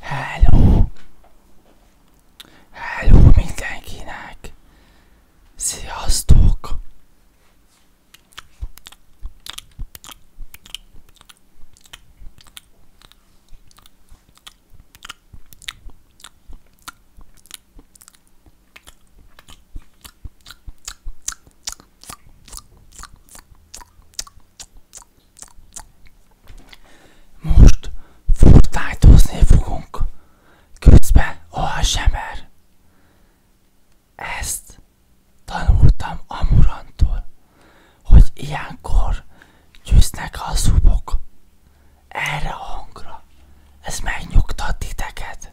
Hello! Hello mindenkinek! Sziasztok! Most furtájtózni fogunk. Közben ASMR. Ezt tanultam Amurantól, hogy ilyenkor győznek a szubok. Erre a hangra. Ez megnyugtat titeket.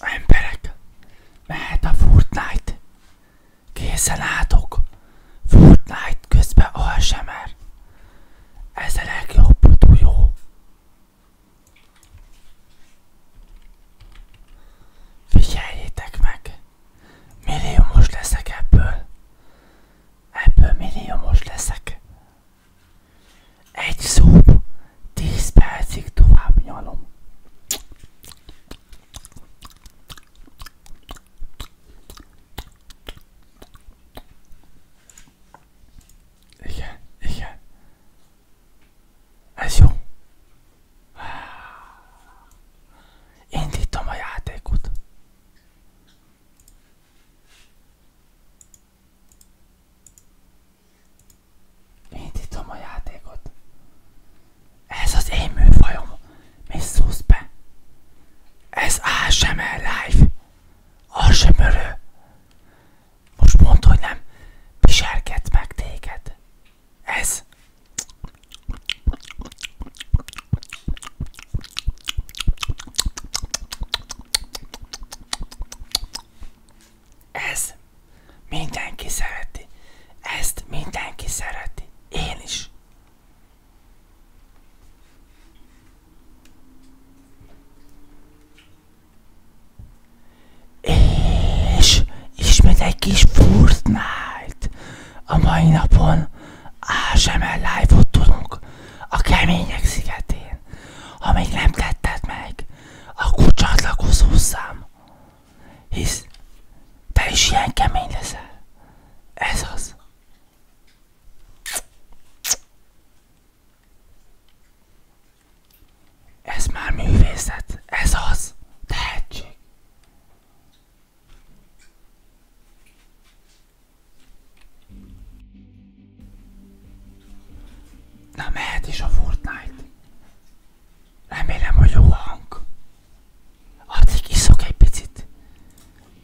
Emberek, mehet a Fortnite. Készen álltok. Fortnite közben ASMR. Ez a legjobb túljó. Figyeljétek meg. most leszek ebből. Ebből most leszek. Egy szó, 10 percig tovább nyalom. Igen, igen. Ez jó. Indítom a játékot. Indítom a játékot. Ez az én műfajom. Mi szúsz be? Ez ASMR Live. ASMR. Most mondd, hogy nem piserkedsz meg téged. Ez. Ez mindenki szereti. Ezt mindenki szereti. Én is. És ismét egy kis Fortnite. A mai napon ASMR live-ot tudunk a kemények szigetén. Ha még nem tetted meg, akkor csatlakozz hozzám hisz te is ilyen kemény leszel. Ez az. Ez már művészet. Ez az. Tehetség. Na mehet is a Fortnite. Remélem, hogy jó a hang. Addig iszok egy picit.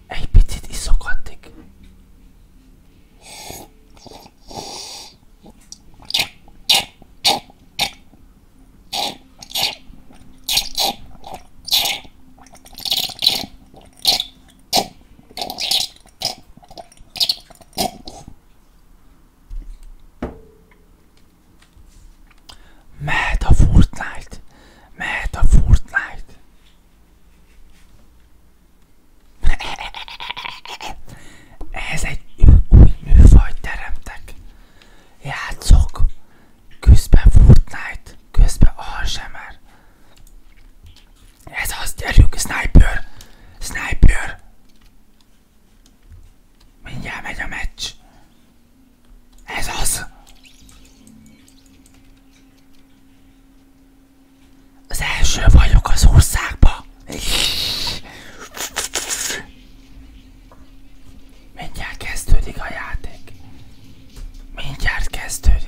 Egy picit iszok addig. Mehet a Fortnite! Mehet a Fortnite! Ehhez egy új műfajt teremtek. Játszok! Közben Fortnite, közben ASMR. Ez az, gyerünk, sniper! Sniper! Mindjárt megy a meccs. Ez az. Az első vagyok az országba. Mindjárt kezdődik a játék. Mindjárt kezdődik.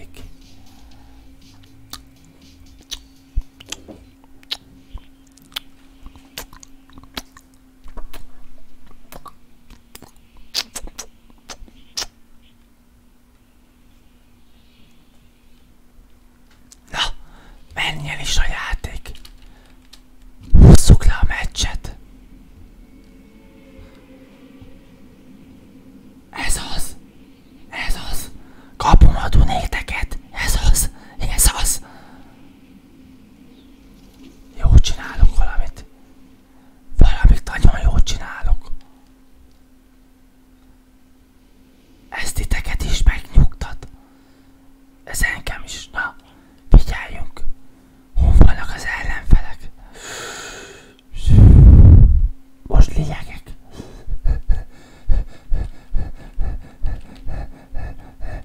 Na, menj el is a játék! Hosszuk le a meccset! Ez az! Ez az! Kapom a nékteket! Ez az! Ez az! Jó csinálok valamit. Valamit nagyon jól csinálok. Ez titeket is megnyugtat. Ez engem is. Na, figyeljünk. Hol vannak az ellenfelek? Most lényegek.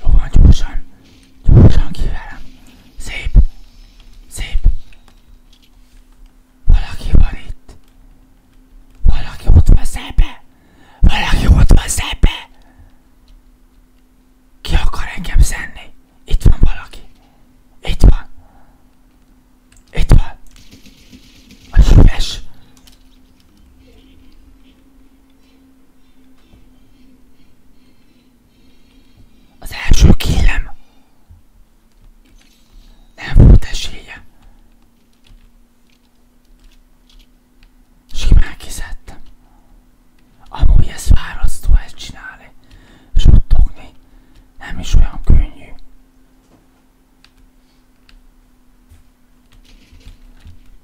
Jó van, gyorsan. Gyorsan kiverem. Szép. Szép. Valaki van itt. Valaki ott van szembe. Valaki ott van szembe. Ki akar engem szenni? Itt van valaki. Itt van. Itt van. A süves. Az első kélem nem volt esélye. Simán kiszedtem. Amúgy ez fárasztó ezt csinálni, suttogni nem is olyan könnyű.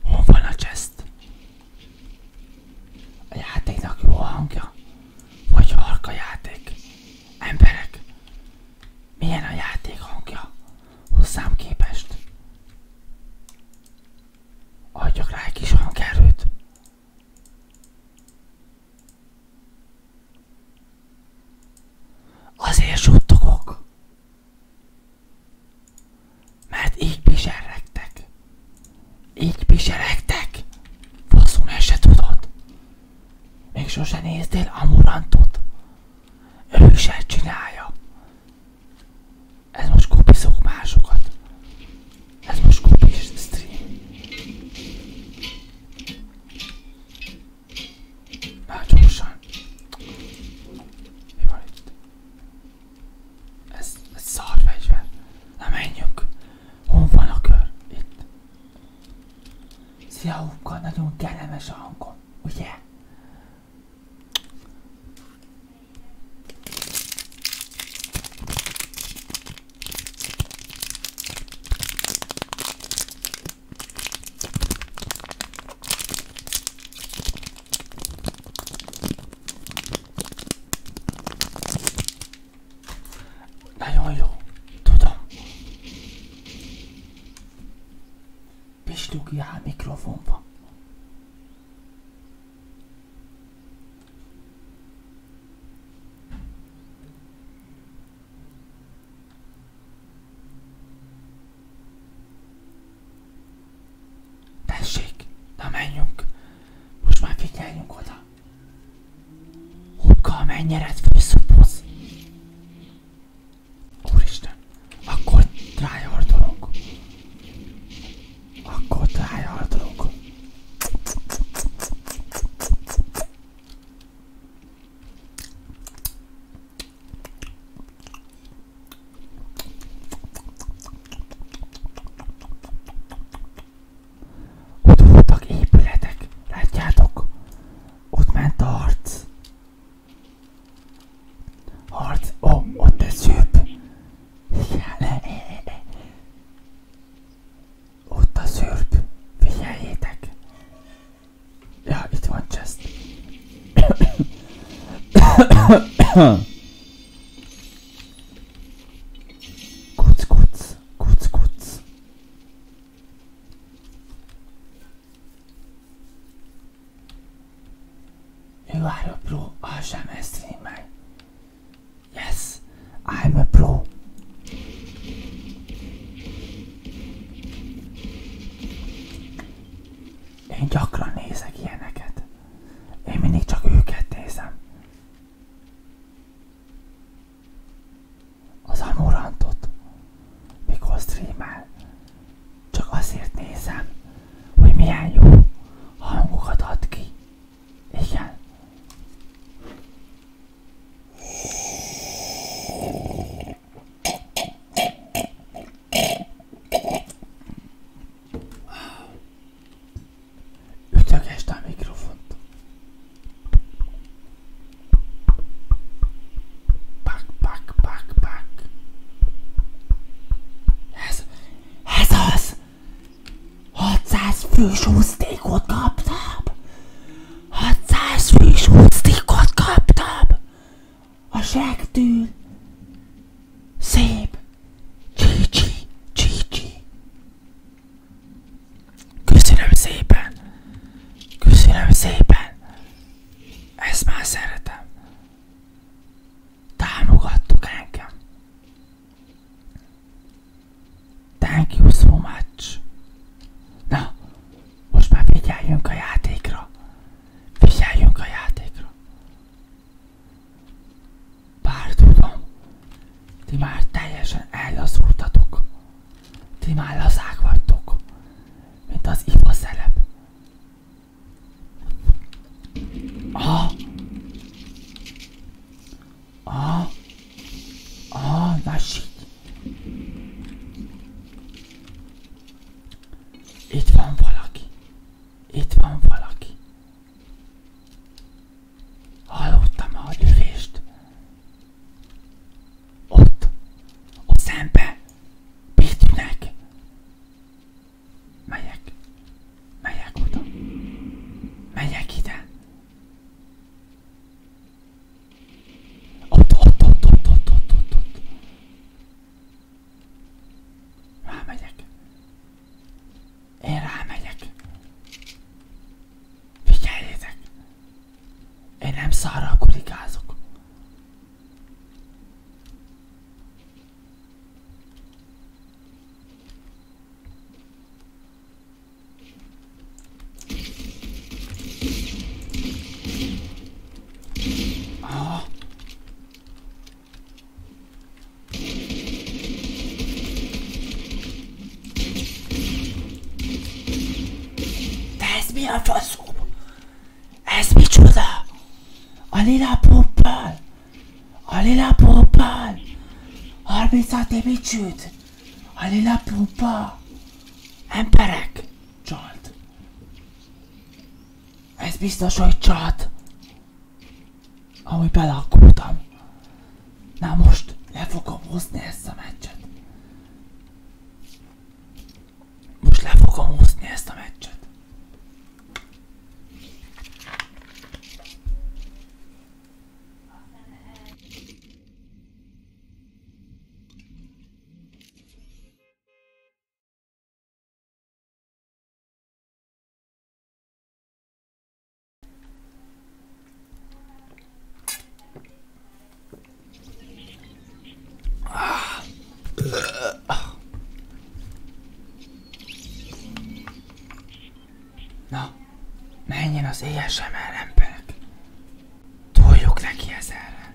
Hol van a chest? A játéknak jó a hangja? Vagy harka játék? Emberek, milyen a játék hangja hozzám képest? Adjak rá egy kis hangerőt. Azért suttogok, mert így piseregtek. Így piseregtek. Faszom, ezt se tudod. Még sose néztél amurantot. Ő se csinálja. Ez most kupiszok másokat. Ez most kupis stream. Már gyorsan. Mi van itt? Ez, ez szar fegyver. Na menjünk. Hol van a kör? Itt. Szia Huka, nagyon kellemes a hangom, ugye? Nagyon jó. Tudom. Pislogja mikrofonba. Tessék, na menjünk. Most már figyeljünk oda. Hopka a mennyered főszoboz. Úristen, akkor tryhardolok. Akkor tryhardolok. Ott voltak épületek, látjátok? Ott ment a harc. Harc, ó, oh, ott ez szűp. Igen, ott a szűrp. E, e, e. Figyeljétek. Ja, itt van Chest. Kurz, kurz, kurz, kurz. You are a pro ASMR streamer. Yes, I'm a pro. Én gyakran nézek ilyeneket. Én mindig csak őket nézem. Az Amurantot, mikor streamel, csak azért nézem, hogy milyen jó hangokat ad ki. Igen. Ütögesd a mikrofont. Pak, pak, pak, pak. Ez, ez az! 600 fős úsztékot kaptam! A sektől! Szép! Gigi, Gigi. Köszönöm szépen. Köszönöm szépen. Ezt már szeretem. Támogattuk engem. Thank you so much. Na, most már figyeljünk a játékra. Figyeljünk a játékra. Bár tudom, ti már teljesen ellazultatok. Ti már lazák vagytok, mint az ipa szelep. Ah! Ah! na lassít! Itt van valaki. Itt van valaki. Hallottam a lövést. Ott, ott szembe, Pétűnek. Megyek, megyek oda, megyek ide. Ott, ott, ott, ott, ott, ott, ott, ott. Már megyek. Én rámegyek. Figyeljétek! Én nem szarral kurikázok. De ez mi a faszom? Ez micsoda? A lila poppal? A lila poppal? 36 évi csőd? A lila pompa? Emberek? Csalt. Ez biztos, hogy csalt. Ami beleakkultam. Na most le fogom hozni ezt a meccset. Most le fogom hozni ezt a meccset. Na, menjen az ASMR emberek. Toljuk neki ezerre.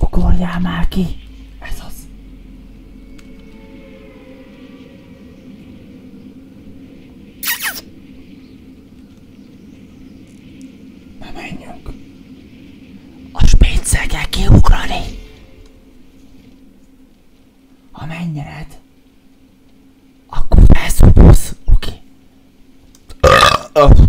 Ugorjál már ki! Ez az! Ne menjünk! A spincel kell kiugrani! Ha menjered, akkor felszúrulsz, oké? Okay.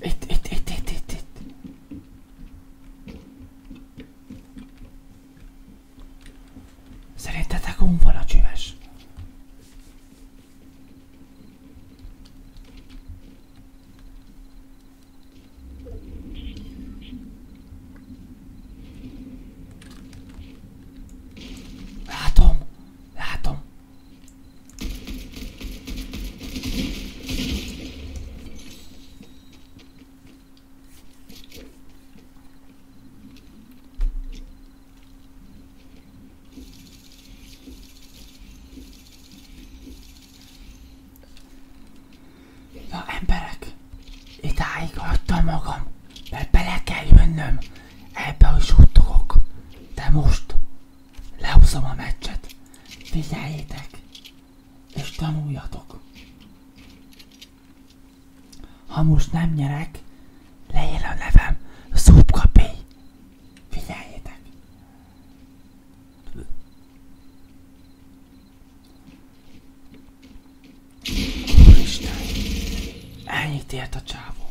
Itt, itt, itt, itt, itt, itt. Szerintetek hon van a csöves? Látom, látom. Na emberek, idáig adtam magam, mert bele kell jönnöm ebbe a suttogok, de most lehúzom a meccset. Figyeljétek, és tanuljatok. Ha most nem nyerek, leír a nevem Szubka Figyeljétek. Úristen, ennyit ért a csávó.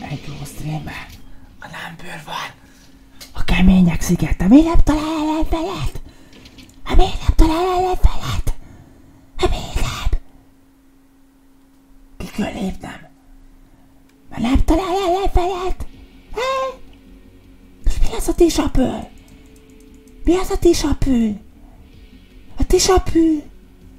Enklo streamben a lámbőr van. A kemények szigete. Miért nem talál ellenfelet? Hát miért nem talál ellenfelet? Hát miért nem? Kikől léptem? Mert nem talál ellenfelet? Hát? És mi az a tisapő? Mi az a tisapő? A tisapő?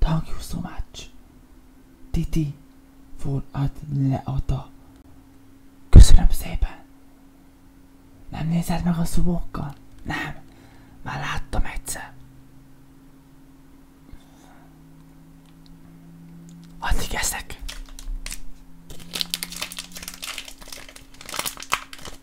Thank you so much, Titi, for ad leata. Köszönöm szépen. Nem nézed meg a szubókkal? Nem, már láttam egyszer. Addig eszek.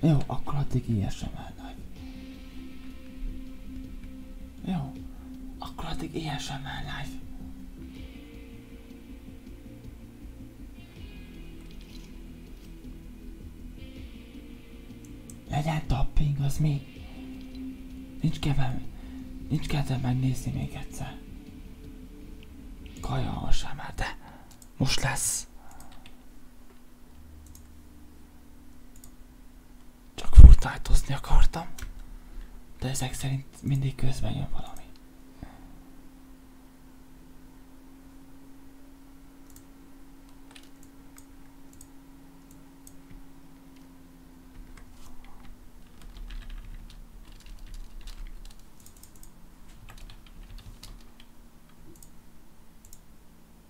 Jó, akkor addig ISML nagy. Jó, akkor addig ISML live. Legyen tapping, az mi? Nincs kevem, nincs kedvem megnézni még egyszer. Kaja alsám, de most lesz. Csak fortnite akartam, de ezek szerint mindig közben jön valami.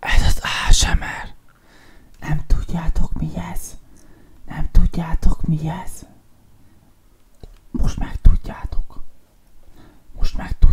Ez az ASMR. Nem tudjátok mi ez? Nem tudjátok mi ez? Most meg tudjátok. Most meg tudjátok.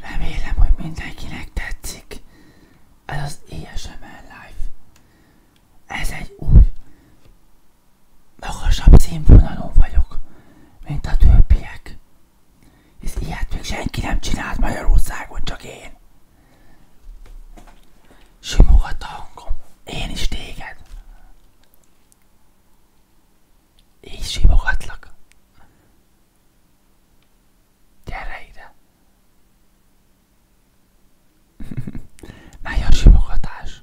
Remélem, hogy mindenkinek tetszik ez az ASMR Live. Ez egy új, magasabb színvonalon vagyok, mint a többiek. Hisz ilyet még senki nem csinált Magyarországon, csak én. Simogat a hangom. Én is téged. Így simogatlak. Gyere ide! Megy a simogatás!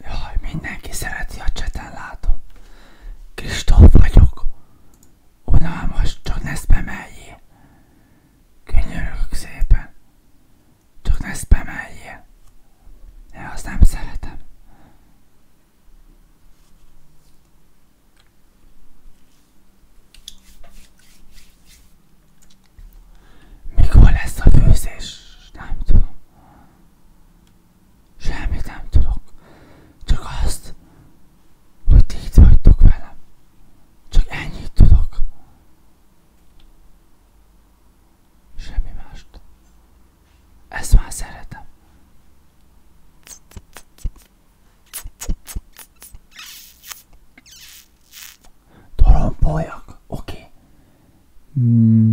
Jaj, mindenki szereti a cseten, látom. Kristóf vagyok. Unalmas, csak ne szpemeljél. Könyörögök szépen. Csak ne spameljél. De azt nem szeretem. Mikor lesz a főzés? Nem tudom. Semmit nem tudok. Csak azt, hogy ti itt vagytok velem. Csak ennyit tudok. Semmi mást. Ezt már szeretem. Torompolyak, oké. Okay. Mm-hmm.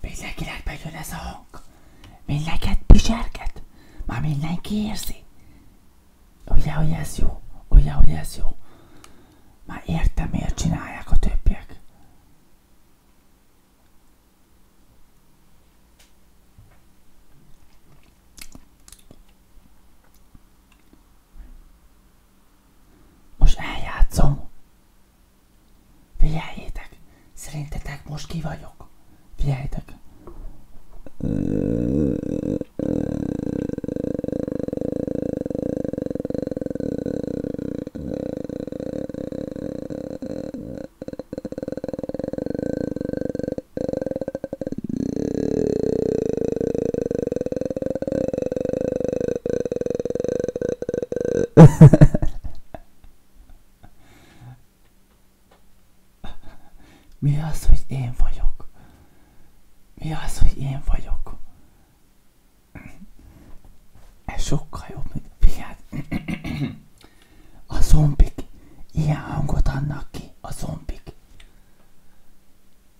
Mindenkinek bejön ez a hang. Mindenket piserket. Már mindenki érzi. Ugye, hogy ez jó? Ugye, hogy ez jó? Már értem, miért csinálják a többiek. Most eljátszom. Figyeljétek, szerintetek most ki vagyok. Figyeljétek. Mi az, hogy én vagyok? Mi az, hogy én vagyok? Ez sokkal jobb, mint figyeld. A zombik ilyen hangot adnak ki, a zombik.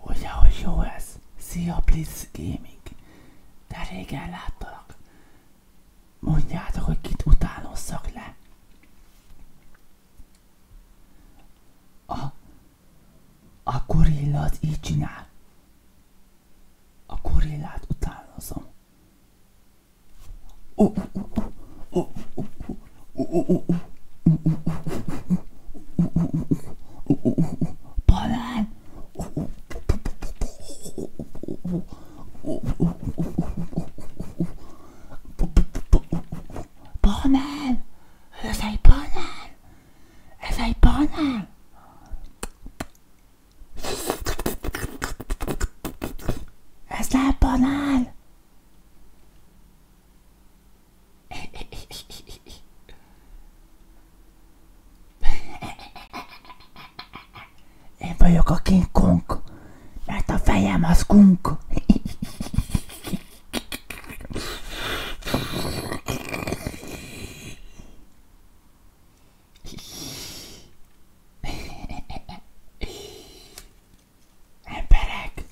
Ugye, hogy jó ez? Szia, Blitz Gaming! De régen láttalak. Mondjátok, hogy kit utánozzak le. A, a gorilla az így csinál. A gorillát utánozom. Banán! Banán! Ez egy banán! Ez egy banán? Ez nem banán? Én vagyok a King Kong, mert a fejem az kunk. Emberek!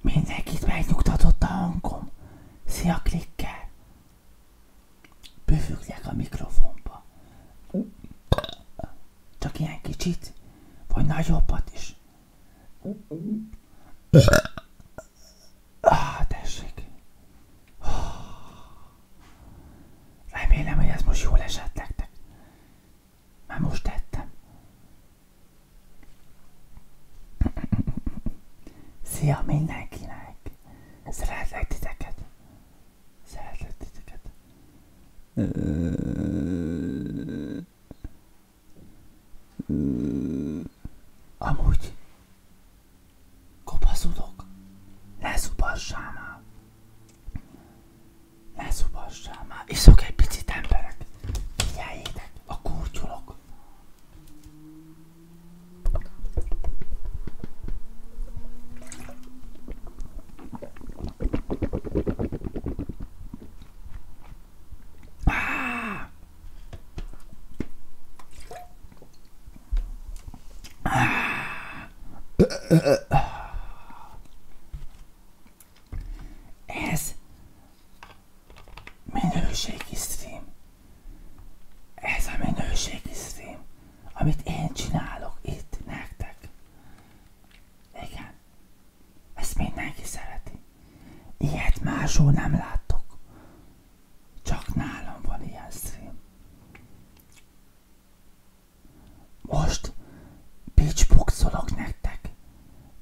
Mindenkit megnyugtatott a hangom. Szia, klikkel! Bővüljek a mikrofonba. Csak ilyen kicsit, vagy nagyobbat is. Ah, tessék. Remélem, hogy ez most jól esett nektek. Már most tettem. Szia mindenkinek! Szeretlek titeket! Szeretlek titeket! Amúgy Kopaszodok. Ne szupassál már. Ne szupassál már. Iszok egy picit emberek. Figyeljétek, a kurtyulok. Ah! Ez minőségi stream. Ez a minőségi stream, amit én csinálok itt nektek. Igen. Ezt mindenki szereti. Ilyet máshol nem láttok. Csak nálam van ilyen stream. Most pitchboxolok nektek.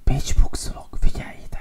Pitchboxolok, figyeljétek.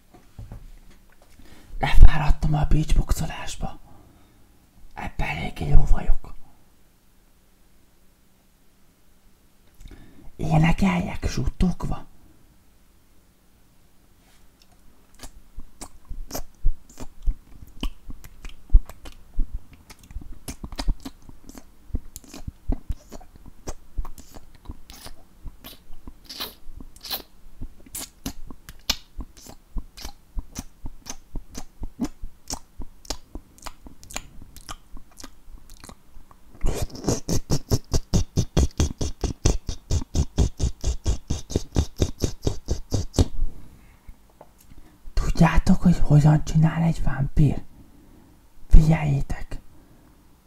Lefáradtam a beachboxolásba. Ebben eléggé jó vagyok. Énekeljek suttogva. Tudjátok, hogy hogyan csinál egy vámpír? Figyeljétek!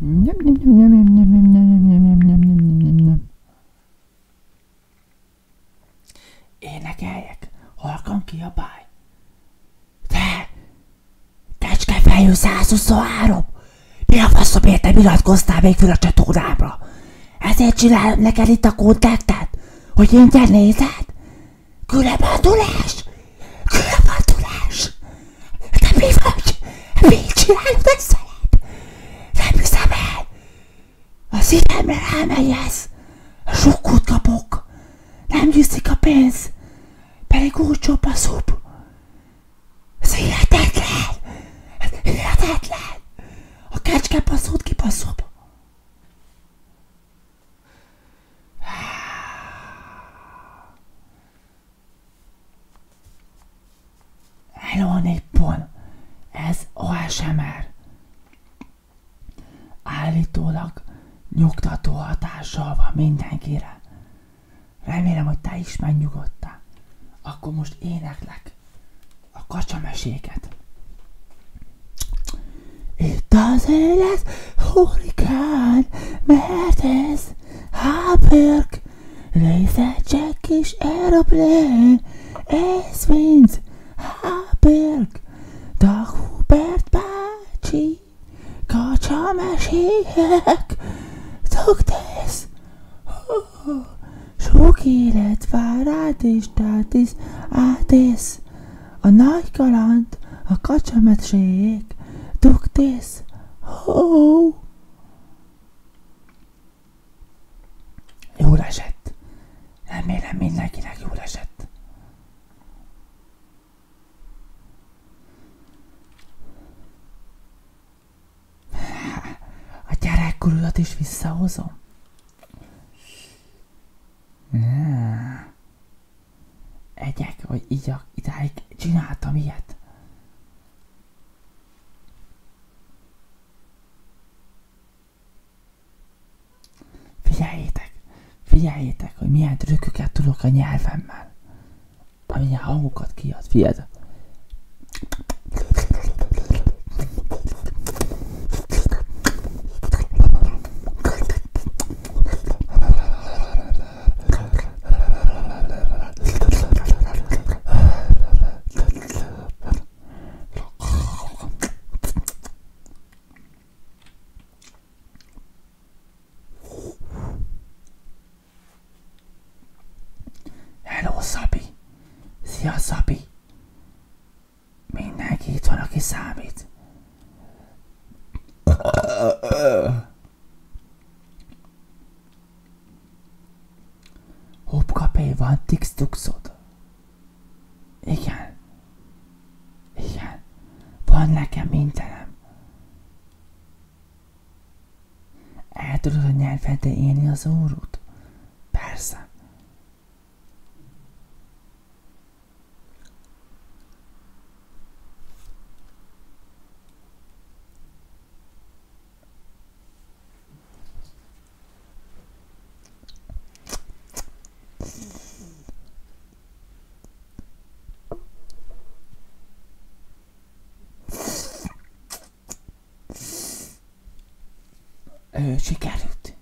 Nyam, nyam, nyam, nyam, nyam, nyam, nyam, nyam, nyam, Te, kecskefejű 123! Mi a faszom érte iratkoztál még fel a csatornámra? Ezért csinálom neked itt a kontaktet? Hogy én ingyen nézed? Különbadulás! Különbadulás! Te mi vagy? Mit csinálod összelet? Nem hiszem el! A szívemre rámegyesz! Sokkot kapok! Nem gyűszik a pénz! Pedig úgy csopaszúbb! Ez hihetetlen! Ez hihetetlen! A kecske passzót kipasszóbb! Hello Nippon! Ez ASMR! Állítólag nyugtató hatással van mindenkire. Remélem, hogy te is megnyugodtál. Akkor most éneklek a kacsameséket. Itt az élet hurrikán, mert ez hápörk, Laser Jack és Aeroplane, Ace Vince, Háberg, Dag Hubert bácsi, Kacsa mesélyek, Tugtesz, sok élet vár rád és tátisz, átész, a nagy kaland, a kacsa mesélyek, Tugtesz, oh, Jól esett. Remélem mindenkinek jól esett. A gyerekkorulat is visszahozom? Egyek, vagy igyak, idáig csináltam ilyet. Figyeljétek, figyeljétek, hogy milyen trükköket tudok a nyelvemmel. Amilyen hangokat kiad, fiad. Hello, Szabi! Szia, Szabi! Mindenki itt van, aki számít. Hopkapé van tixtuxod. Igen. Igen. Van nekem mindenem. El tudod a nyelvedre élni az órút? Persze. Ő sikerült.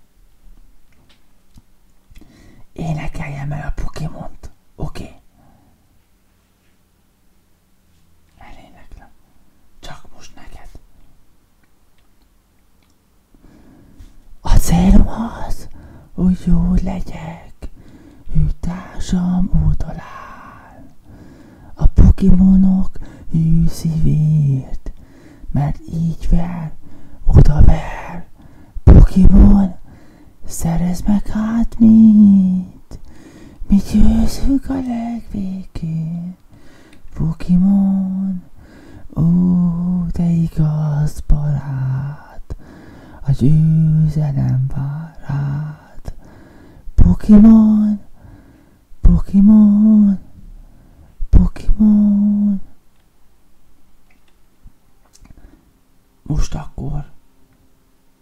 Énekeljem el a Pokémont. Oké. Okay. Eléneklem. Csak most neked. A célom az, jó legyek, ő társam A Pokémonok hű szívét, mert így ver, oda ver. Pokimon, szerez meg hát mit? Mi győzünk a legvégén, Pokimon, ó, te igaz barát, a győzelem vár rád. Pokimon, Pokimon, Pokimon. Most akkor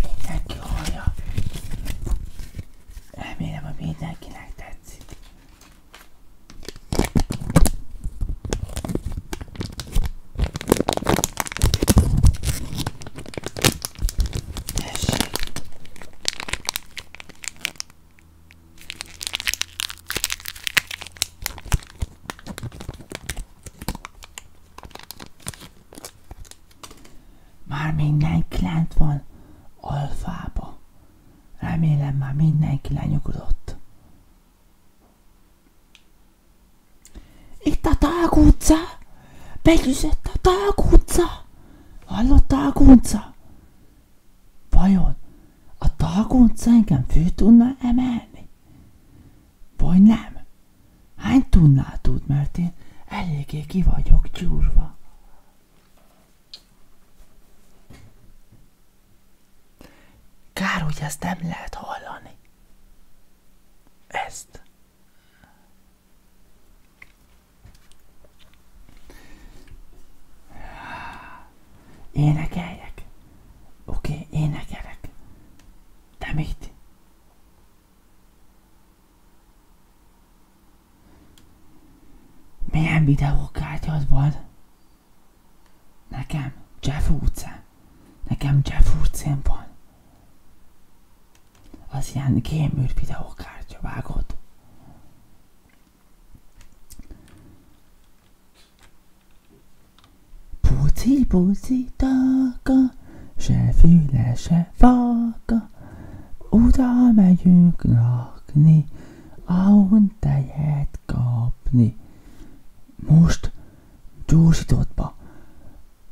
Mindenki hallja. Remélem, hogy mindenkinek tetszik. Tessék. Már mindenki lent van alfába. Remélem mindenki lenyugodott. Itt a Tág utca! a Tág Hallottál, Gunca? Vajon a targonca engem fő tudna emelni? Vagy nem? Hány tudnál tud, mert én eléggé ki vagyok gyúrva. Kár, hogy ezt nem lehet hallani. Ezt. Énekeljek? Oké, okay, énekelek. De mit? Milyen videókártyád van? Nekem Jeff utcán. Nekem Jeff utcán van az ilyen kémült videókártya vágott. Puci, puci, taka, se füle, se faka, oda megyünk lakni, ahon tejet kapni. Most gyorsítottba.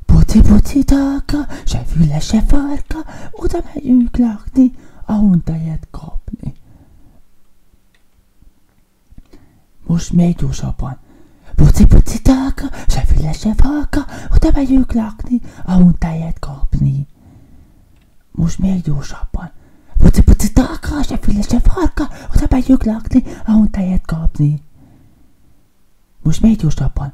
Puci, puci, taka, se füle, se farka, oda megyünk lakni, ahonta ilyet kapni. Most még gyorsabban. Puci, puci, talka, se füle, se falka, oda megyünk lakni, ahonta ilyet kapni. Most még gyorsabban. Puci, puci, talka, se füle, se falka, oda megyünk lakni, ahonta ilyet kapni. Most még gyorsabban.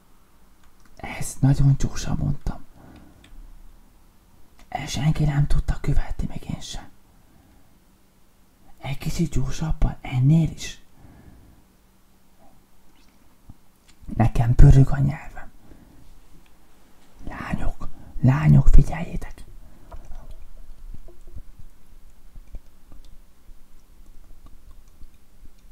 Ezt nagyon gyorsan mondtam. El senki nem tudta követni, meg én sem. Egy kicsit gyorsabban, ennél is. Nekem pörög a nyelvem. Lányok, lányok, figyeljétek!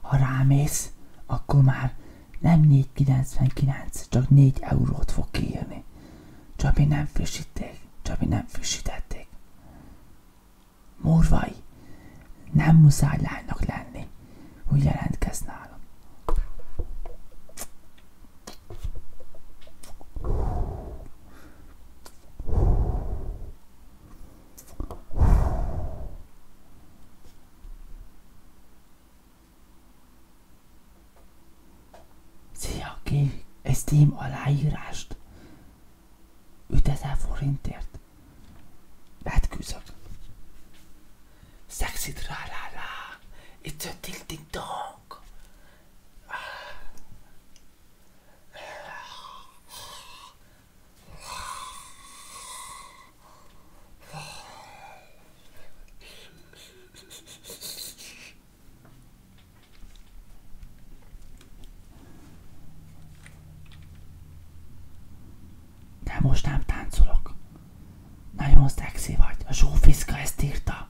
Ha rámész, akkor már nem 4,99, csak 4 eurót fog kiírni. Csabi nem frissíték, Csabi nem frissítették. Morvai, nem muszáj lánynak lenni, hogy jelentkez nálam. Szia, kér egy Steam aláírást. 5000 forintért. Hát küzdök. Sexy tra la It's a tilting dong. De most nem táncolok. Nagyon szexi vagy. A Zsófiszka ezt írta.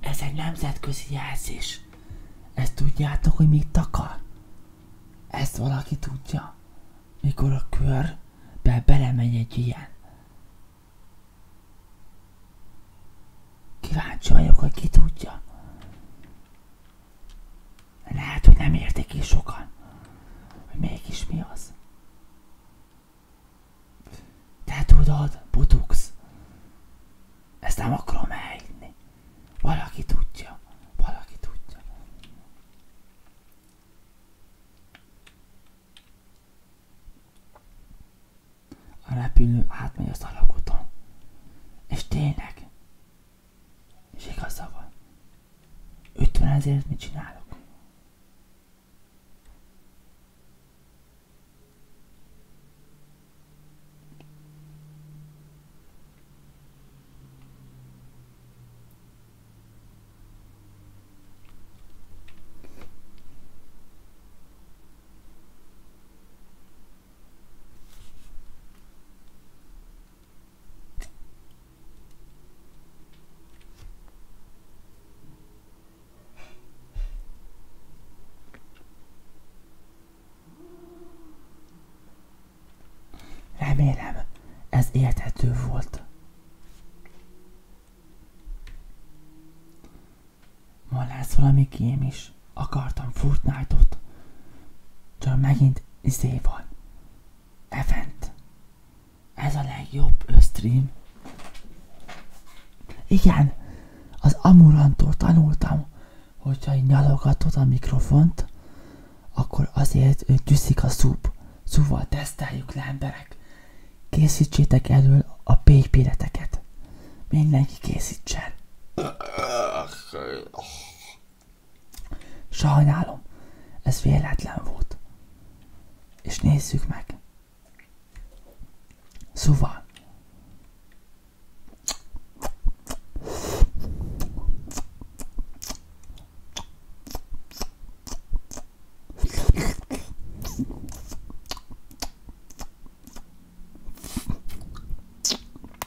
Ez egy nemzetközi jelzés. Ezt tudjátok, hogy mit takar? Ezt valaki tudja? Mikor a kör, körbe belemegy egy ilyen. Kíváncsi vagyok, hogy ki tudja. Lehet, hogy nem értik is sokan, hogy mégis mi az. Te tudod, butux. Ezt nem akarom elhinni. Valaki tudja. Valaki tudja. A repülő átmegy az alaguton. És tényleg, és igaza van. 50 ezért mit csinálok? Remélem, ez érthető volt. Van lesz valami kém is akartam Fortnite-ot. Csak megint izé van. Event. Ez a legjobb stream. Igen, az Amurantól tanultam, hogyha így nyalogatod a mikrofont, akkor azért gyűszik a szúp. Szóval teszteljük le emberek. Készítsétek elő a pékpéreteket. Mindenki készítsen. Sajnálom, ez véletlen volt. És nézzük meg. Szóval,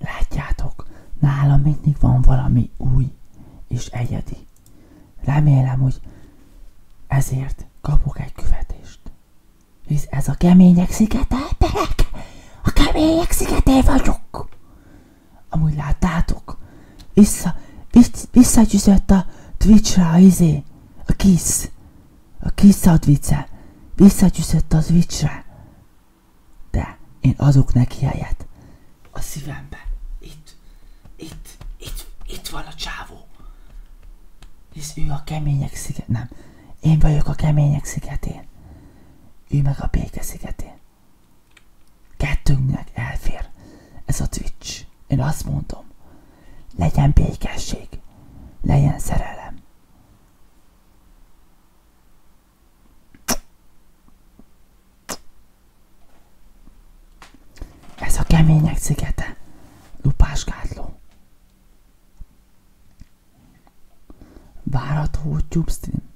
Látjátok, nálam mindig van valami új és egyedi. Remélem, hogy ezért kapok egy követést. Hisz ez a kemények szigete, terek! A kemények szigetén vagyok! Amúgy láttátok, vissza, vissz, visszagyűzött a Twitch-ra izé, a kis a kis advice, visszagyűzött az Twitch-re. De én azok neki helyet. A szívemben. Itt, itt, itt, itt van a csávó. Hisz ő a kemények sziget... Nem, én vagyok a kemények szigetén. Ő meg a béke szigetén. Kettőnknek elfér. Ez a Twitch. Én azt mondom. Legyen békesség. Legyen szerelem. Ez a kemények szigete, Lupás lupásgátló. Várható YouTube stream.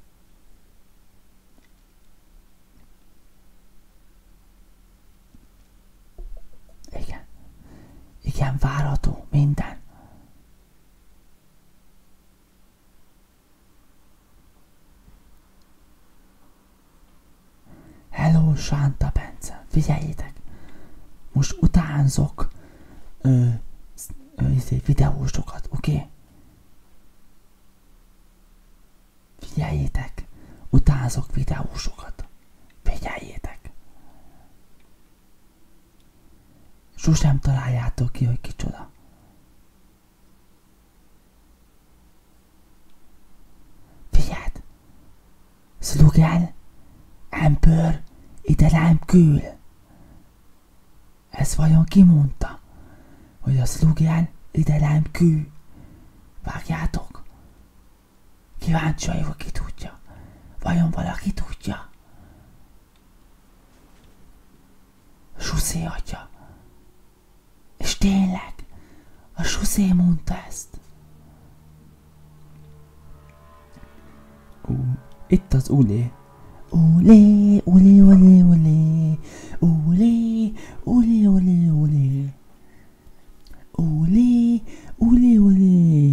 Igen. Igen, várható minden. Hello, Santa Bence, figyeljétek! Most utánzok ö, ö, izé, videósokat, oké? Okay? Figyeljétek! Utánzok videósokat! Figyeljétek! Sosem találjátok ki, hogy kicsoda. Figyeld! Szlogán, Ember, ide rám kül! Ez vajon mondta, hogy a szlogán ide rám kül? Vágjátok? Kíváncsi vagyok, ki tudja. Vajon valaki tudja? Suszé atya. És tényleg, a suszé mondta ezt. Ú, itt az ulé. Ulé, ulé, ulé, ulé. Ulé, ulé, ulé, ulé. Ulé, ulé, ulé.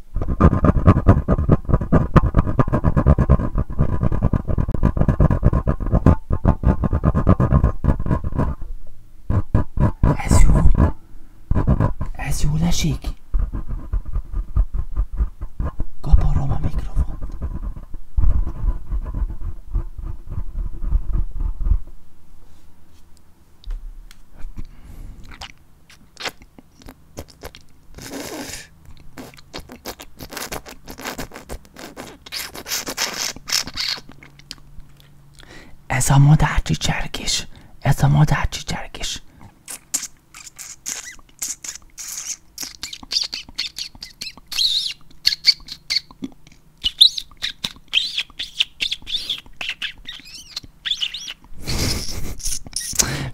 Ez jó. Ez jó lesik. Kaparom a mikrofont. Ez a madárcsicserkés. Ez a madárcsicserkés.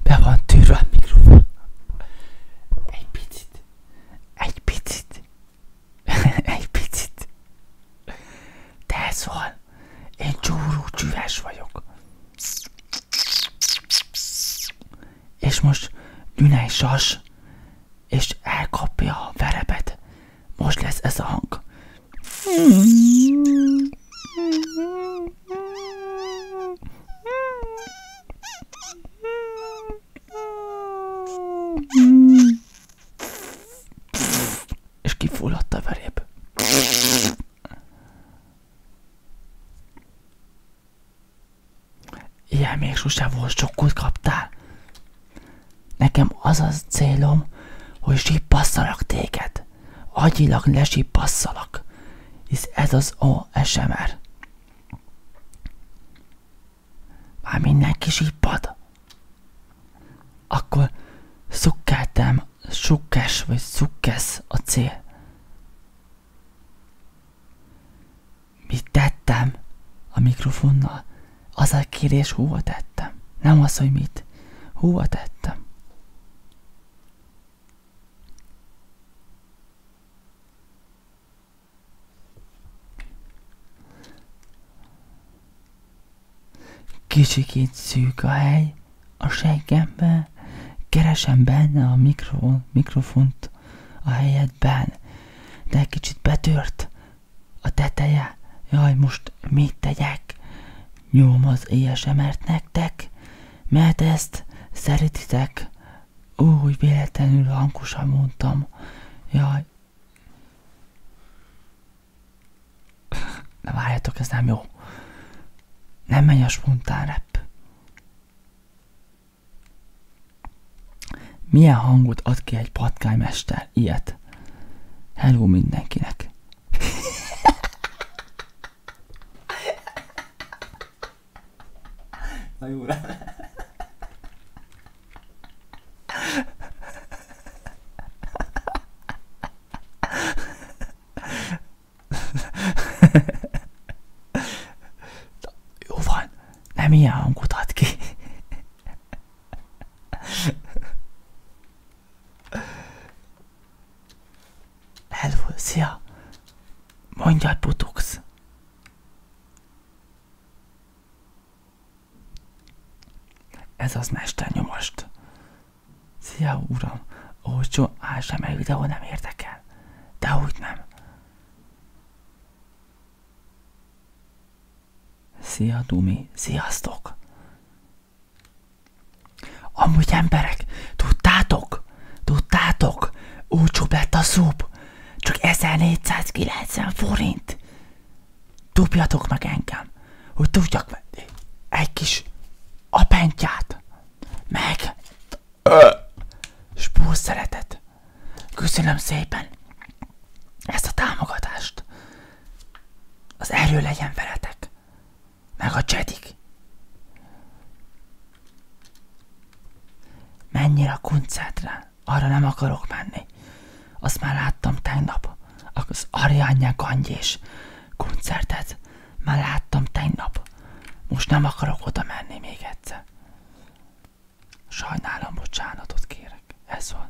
Be van tűrve a mikrofon. Egy picit. Egy picit. Egy picit. De ez van. Én csúrú csüves vagyok. És most Dünei Sas, és elkapja a verebet. Most lesz ez a hang. És kifulladt a veréb. Ilyen még sose volt, sokkot kaptál. Nekem az az célom, hogy sippasszalak téged. Agyilag lesippasszalak hisz ez az ASMR. Már mindenki sípad. Akkor szukkeltem, sukkes vagy szukkesz a cél. Mit tettem a mikrofonnal? Az a kérés hova tettem. Nem az, hogy mit. Hova tettem. Kicsikét szűk a hely, a seggembe, keresem benne a mikro, mikrofont a helyedben, de egy kicsit betört a teteje. Jaj, most mit tegyek? Nyom az ASMR-t nektek? mert ezt szeretitek. Ó, hogy véletlenül hangosan mondtam. Jaj. Na várjatok, ez nem jó. Nem megy a spontán rep. Milyen hangot ad ki egy patkánymester? Ilyet. Hello mindenkinek. Na jó lenne. Jó van, nem ilyen hangot ad ki. Hello, szia! Mondjad, Butux! Ez az mesternyomost. Szia, uram! Olcsó ASMR videó nem érdekel. De úgy nem. Szia, Dumi! Sziasztok! Amúgy emberek, tudtátok, Tudtátok? Tudtátok? Olcsóbb lett a szúp. Csak 1490 forint. Dobjatok meg engem, hogy tudjak venni egy kis apentyát, meg spúr szeretet. Köszönöm szépen ezt a támogatást. Az erő legyen veletek. Meg a csedik. Mennyire a kuncetre, arra nem akarok menni. Azt már láttam tegnap. Az Ariányák Angyés koncertet már láttam tegnap. Most nem akarok oda menni még egyszer. Sajnálom, bocsánatot kérek. Ez van.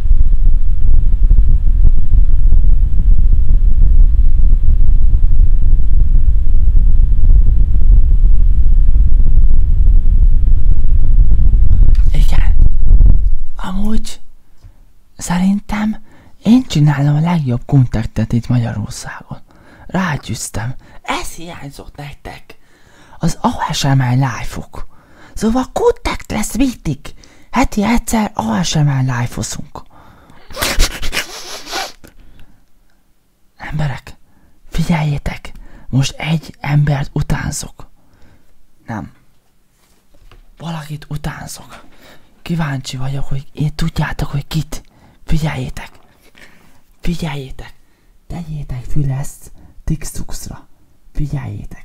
Igen. Amúgy szerintem én csinálom a legjobb kontaktet itt Magyarországon. Rágyűztem. Ez hiányzott nektek. Az ASMR live-ok. ok Szóval kontakt lesz mindig. Heti egyszer ASMR live-oszunk. Emberek, figyeljétek, most egy embert utánzok. Nem. Valakit utánzok. Kíváncsi vagyok, hogy én tudjátok, hogy kit. Figyeljétek. Figyeljétek. Tegyétek fül ezt Tixtuxra. Figyeljétek.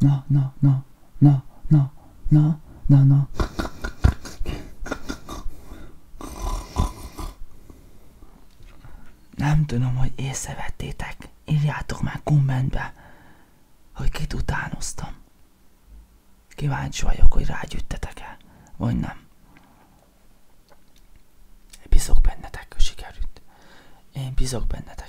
Na, na, na, na, na, na, na, na. Nem tudom, hogy észrevettétek. Írjátok már kommentbe, hogy kit utánoztam. Kíváncsi vagyok, hogy rágyüttetek-e, vagy nem. Bízok bennetek, sikerült. Én bízok bennetek.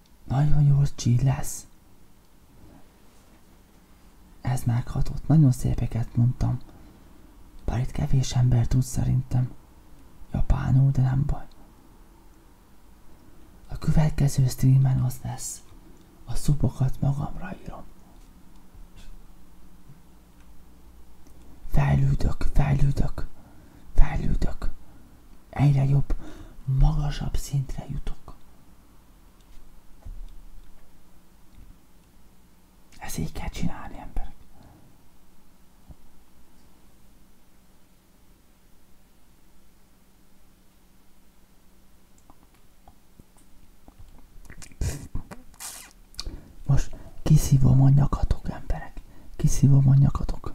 Nagyon jól csíd lesz. Ez meghatott, nagyon szépeket mondtam. Bár itt kevés ember tud szerintem. Japánul, de nem baj. A következő streamen az lesz. A szupokat magamra írom. Fejlődök, fejlődök, fejlődök. Egyre jobb, magasabb szintre jutok. Ezt így kell csinálni, ember. Most kiszívom a nyakatok, emberek. Kiszívom a nyakatok.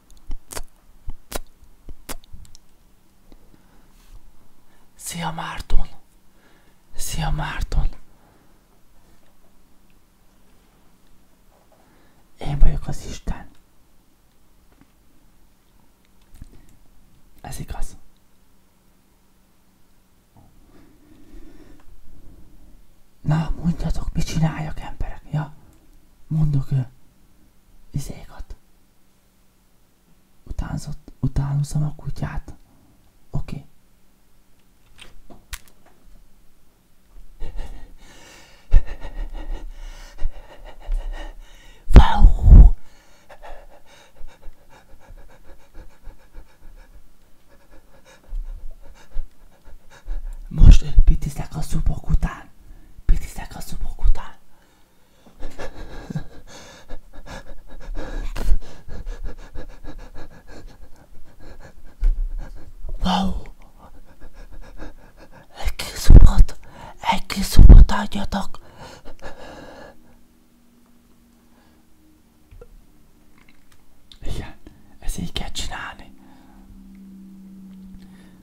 Szia Márton! Szia Márton! Én vagyok az Isten. Ez igaz. Na, mondjatok, mit csináljak emberek? Ja, mondok ő izékat. Utánzott, utánozom a kutyát. Oké. Okay. Most pitizek a szupok után. Pitizek a szupok után. Wow! Egy kis szupot, egy kis szupot adjatok. Igen, ezt így kell csinálni.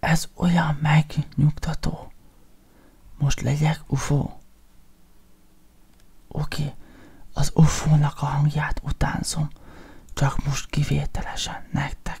Ez olyan megnyugtató. Most legyek ufó. Oké, az ufónak a hangját utánzom, csak most kivételesen nektek.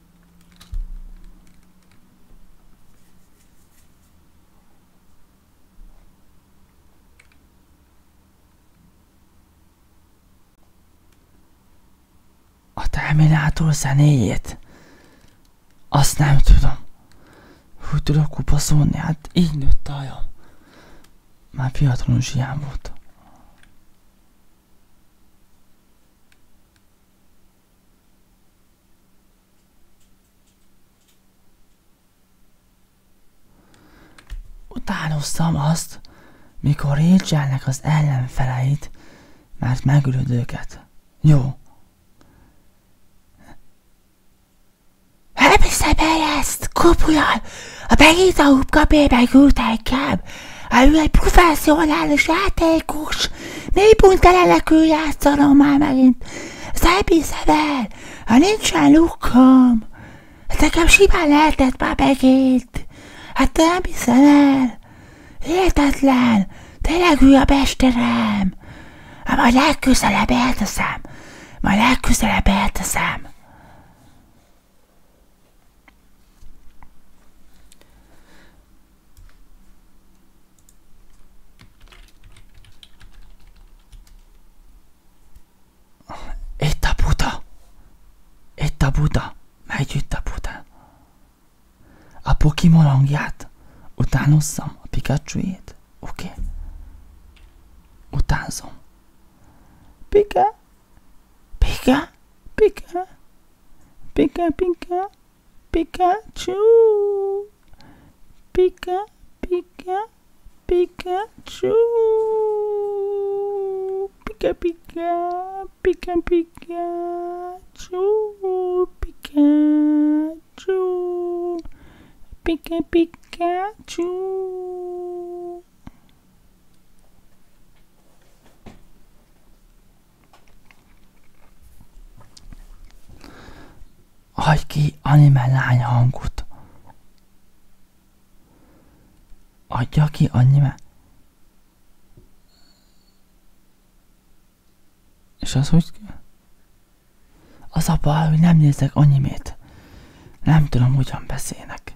A terminátor zenéjét? Azt nem tudom. Hogy tudok kupaszolni? Hát így nőtt a hajam. Már fiatalon zsiám volt. Utánoztam azt, mikor Rachelnek az ellenfeleit, mert megölöd őket. Jó. Elviszem el ezt, kopulal! A begita húbkapébe küldte inkább, Hát ő egy professzionális játékos. Népuntelenek ő játszanom már megint. Ezt elbízem el. Ha nincsen lukkam. Hát nekem simán lehetett már megint. Hát te nem hiszem el. Hihetetlen. Tényleg ő a mesterem. Hát majd legközelebb elteszem. Majd legközelebb elteszem. Itt a Buda! Itt a Buda! Megy a Buda! utánozzam a Pikachu-ét? Oké. Okay. Utánzom. Pika! Pika! Pika! Pika! Pika! Pikachu. Pika, Pika, Pikachu. Pika, Pika, Pika, Pikachu. Pikachu. Pika, Pikachu. Hagy ki anime lány hangot. Adja ki anime. És az hogy Az a baj, hogy nem nézek animét. Nem tudom, hogyan beszélnek.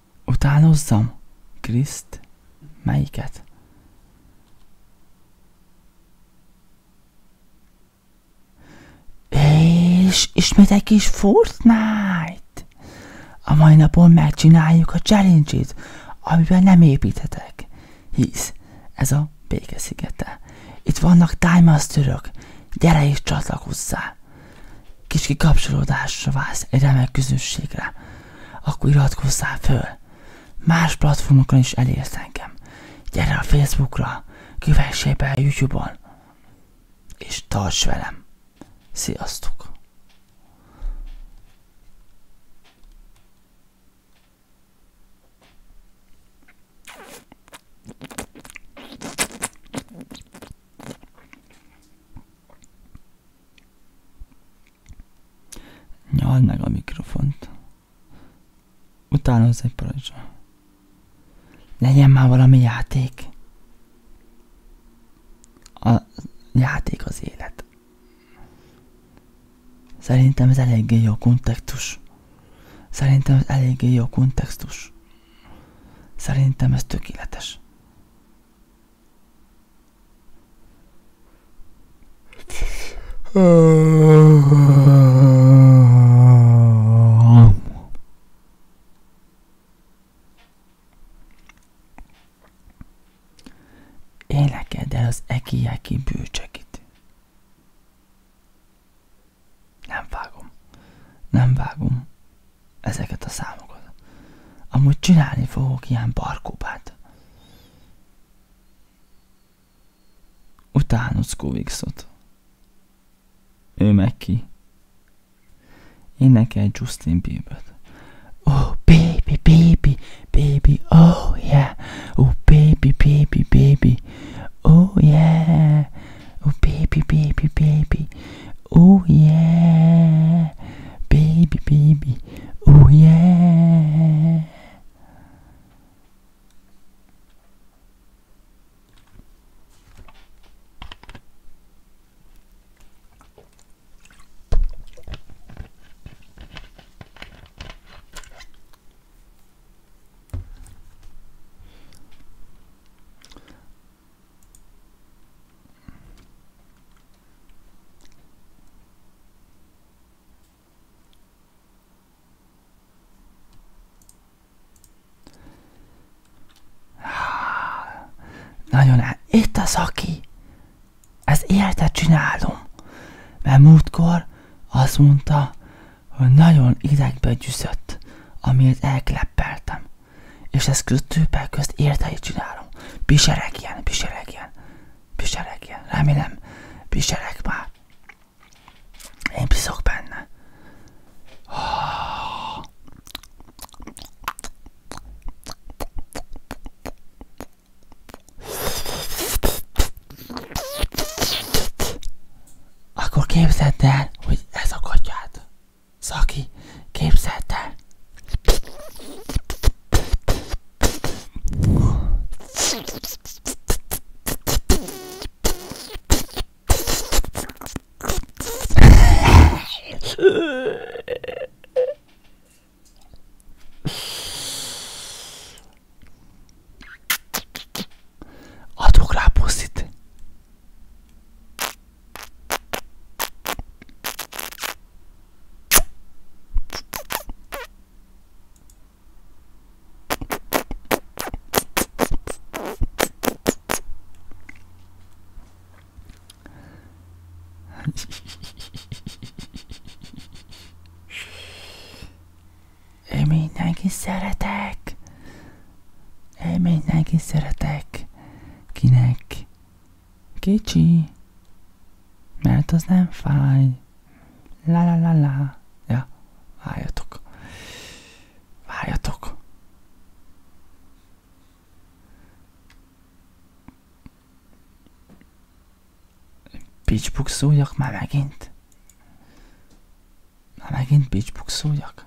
Utánozzam? Kriszt? Melyiket? És ismét egy kis Fortnite! A mai napon megcsináljuk a challenge-it, amiben nem építhetek. Hisz, ez a békeszigete. Itt vannak Time Masterök, gyere és csatlakozzál! kis kikapcsolódásra válsz egy remek közösségre, akkor iratkozzál föl. Más platformokon is elérsz engem. Gyere a Facebookra, kövessél be a Youtube-on, és tarts velem. Sziasztok! Nyald meg a mikrofont. Utána hozzá egy paradicsom. Legyen már valami játék. A játék az élet. Szerintem ez eléggé jó kontextus. Szerintem ez eléggé jó kontextus. Szerintem ez tökéletes. Énekeld el az ekiáki bűcsekit. Nem vágom. Nem vágom ezeket a számokat. Amúgy csinálni fogok ilyen barkópát. Utána Scovixot. Ő meg ki. Én neki egy Justin Bieber-t. Oh, baby, baby, baby, oh yeah. Oh, baby, baby, baby. Oh yeah. Oh, baby, baby, baby. Oh yeah, baby, baby. Oh yeah. Nagyon el. Itt az aki. Ez érte csinálom. Mert múltkor azt mondta, hogy nagyon idegbe gyűszött, amiért elkleppeltem. És ezt közt többek közt értei csinálom. ilyen, piseregjen, ilyen. Remélem, pisereg már. Én piszok benne. Akkor képzeld el, hogy ez a katyát. Szaki, képzeld el! Adok rá puszit. Én mindenki szeretek. Én mindenki szeretek. Kinek Kicsi, mert az nem fáj. La la la la. Ja, várjatok. Várjatok. Pitchbuxuljak már megint? Már megint pitchbuxuljak?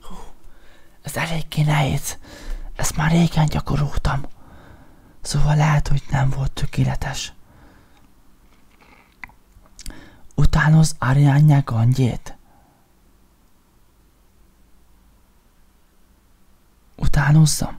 Hú, ez elég nehéz. Ezt már régen gyakoroltam. Szóval lehet, hogy nem volt tökéletes. Utánoz Ariányák angyét. Utánozzam.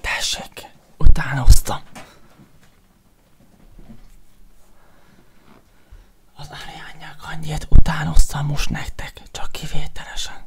Tessék, utánoztam. Az Ariányák annyit utánoztam most nektek, csak kivételesen.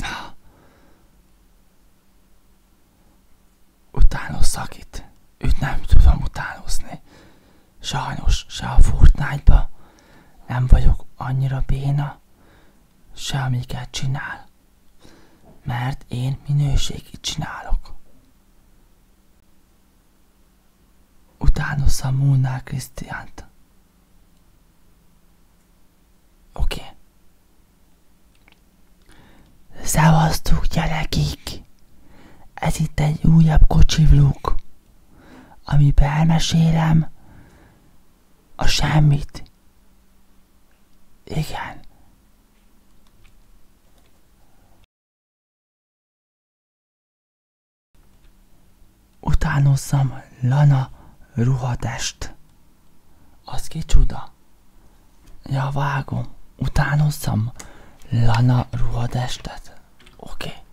Na, utánozzak itt. Őt nem tudom utánozni. Sajnos se a fortnite nem vagyok annyira béna, se amiket csinál, mert én minőségit csinálok. Utánozza Múlnál Krisztiánt. Oké. Okay. Szevasztok gyerekik! Ez itt egy újabb kocsi vlog amiben elmesélem a semmit. Igen. Utánozzam Lana ruhatest. Az csoda. Ja, vágom. Utánozzam Lana ruhatestet. Oké. Okay.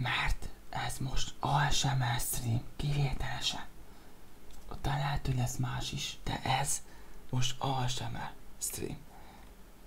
Mert ez most ASMR stream, kivételesen. Ott lehet, hogy lesz más is, de ez most ASMR stream.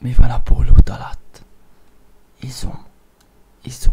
Mais voilà pour sont, ils sont Izum.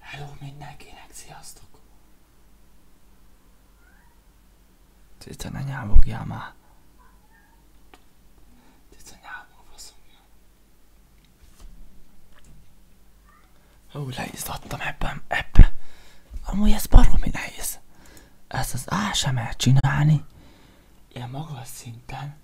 Hello mindenkinek, sziasztok! Cica, ne nyámogjál már! Cica, nyámog, faszomja! Hú, leizzadtam ebben, ebben. Amúgy ez baromi nehéz. Ezt az ASMR csinálni, ilyen magas szinten,